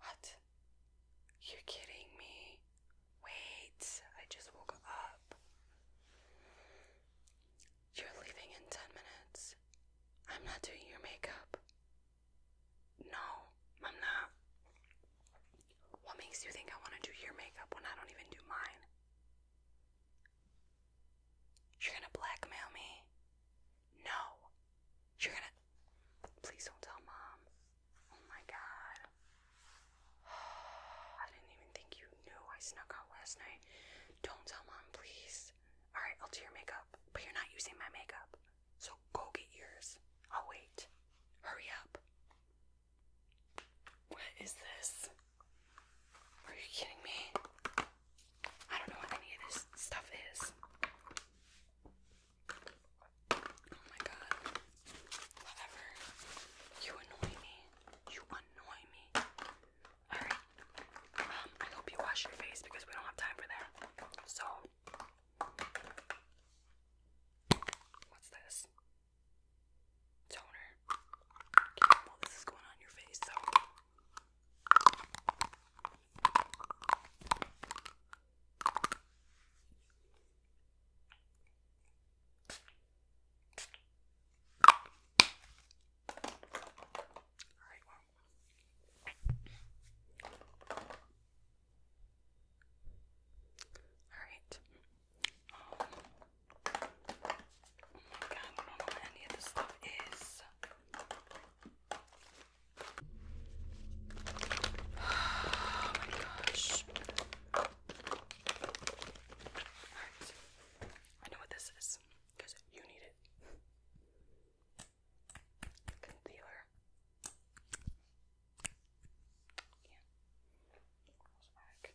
What? You're kidding me. Wait, I just woke up. You're leaving in 10 minutes. I'm not doing your makeup. No, I'm not. What makes you think I want to do your makeup when I don't even do mine? You're gonna blackmail me. No. You're gonna. Please don't tell mom. Oh my god. I didn't even think you knew I snuck out last night. Don't tell mom, please. Alright, I'll do your makeup, but you're not using my makeup. So go get yours. I'll wait. Hurry up. What is this? Are you kidding me? I don't know what any of this stuff is. Oh my god. Whatever. You annoy me. You annoy me. Alright. Um, I hope you wash your face because we don't have time for that. So what's this? Toner. Okay, going on your face, right, well. All right. Um, oh my god, I don't know what any of this stuff is. Oh my gosh. Alright. I know what this is because you need it. Concealer. Yeah. Back.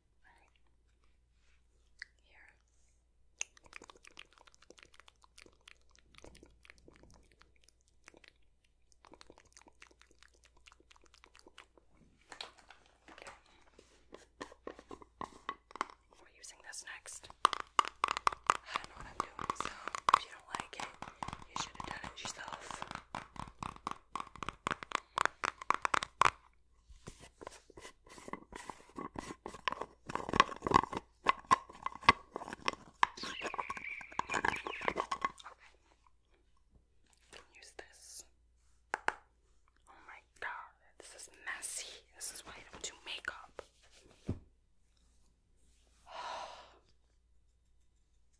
Alright. We're using this next. I don't know what I'm doing, so if you don't like it, you should have done it yourself. Use this. Oh my god, this is messy. This is why I don't do makeup.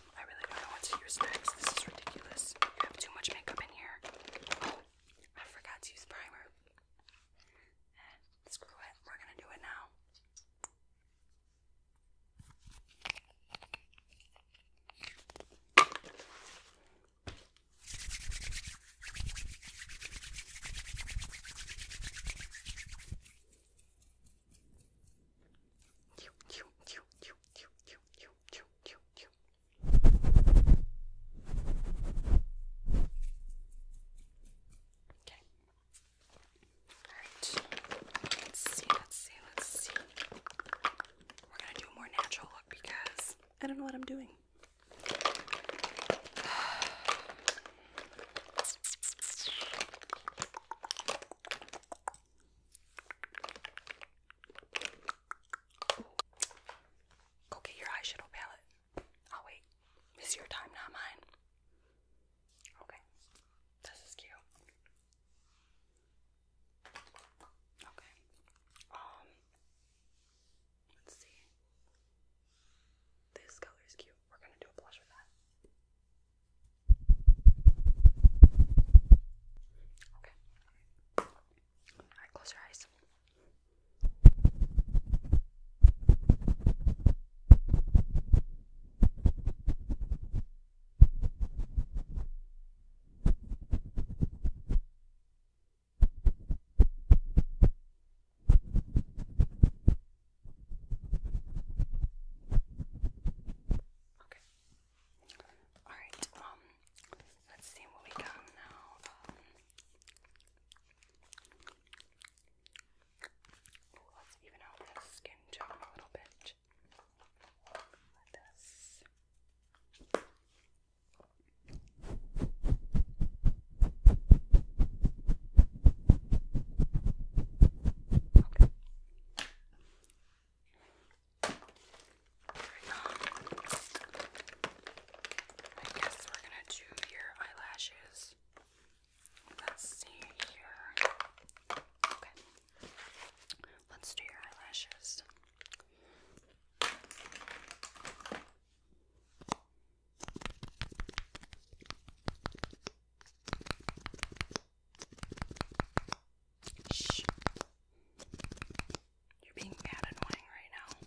um, I really don't know what to use next. This is ridiculous. I have too much makeup in here. I forgot to use primer. Eh, screw it. We're gonna do it now. Okay. All right. Let's see. Let's see. Let's see. We're gonna do a more natural look because I don't know what I'm doing. Go get your eyeshadow palette. I'll wait. It's your time, not mine. Okay. This is cute. Okay. Um let's see. This color is cute. We're gonna do a blush with that. Okay. Alright, close your eyes. Okay. Okay. Alright, um, let's see what we got now. Um, let's even out this skin tone a little bit. Like this. I guess we're gonna do your eyelashes. Let's see here. Okay. Let's do your eyelashes. Shh. You're being mad annoying right now.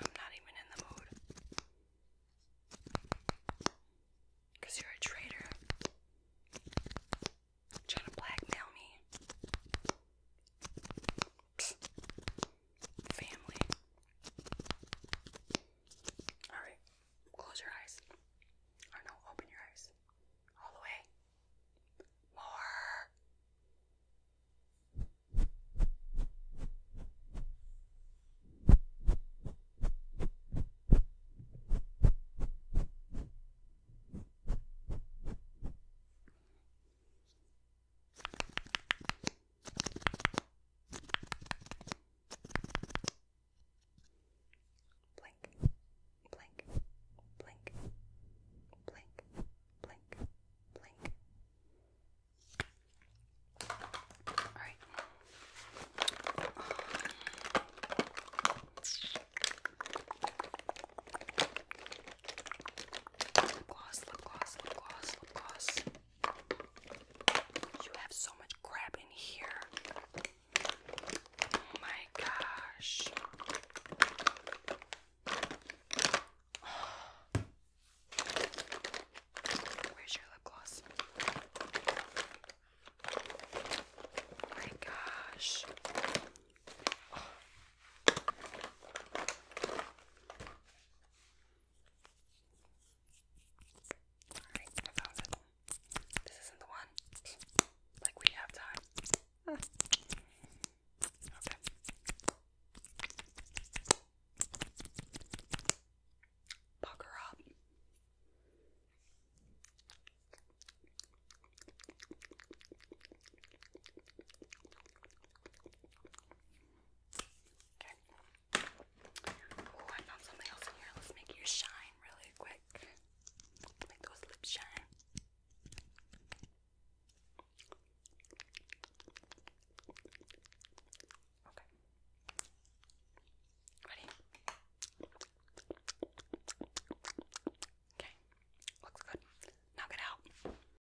I'm not even in the mood. you're a traitor. Trying to blackmail me. Family. Alright, close your eyes. no, open your eyes. All the way. More. Blink, blink, blink, blink, blink, blink. All right. Lip gloss, lip gloss, lip gloss, lip gloss. You have so much crap in here. Oh my gosh. Where's your lip gloss? Oh my gosh. Oh. Alright, I found it. This isn't the one. Like, we have time. Huh. Ah. Okay. Pucker up. Okay. Oh, I found something else in here. Let's make you shine really quick. Make those lips shine. Okay. Ready? Okay. Looks good. Knock it out.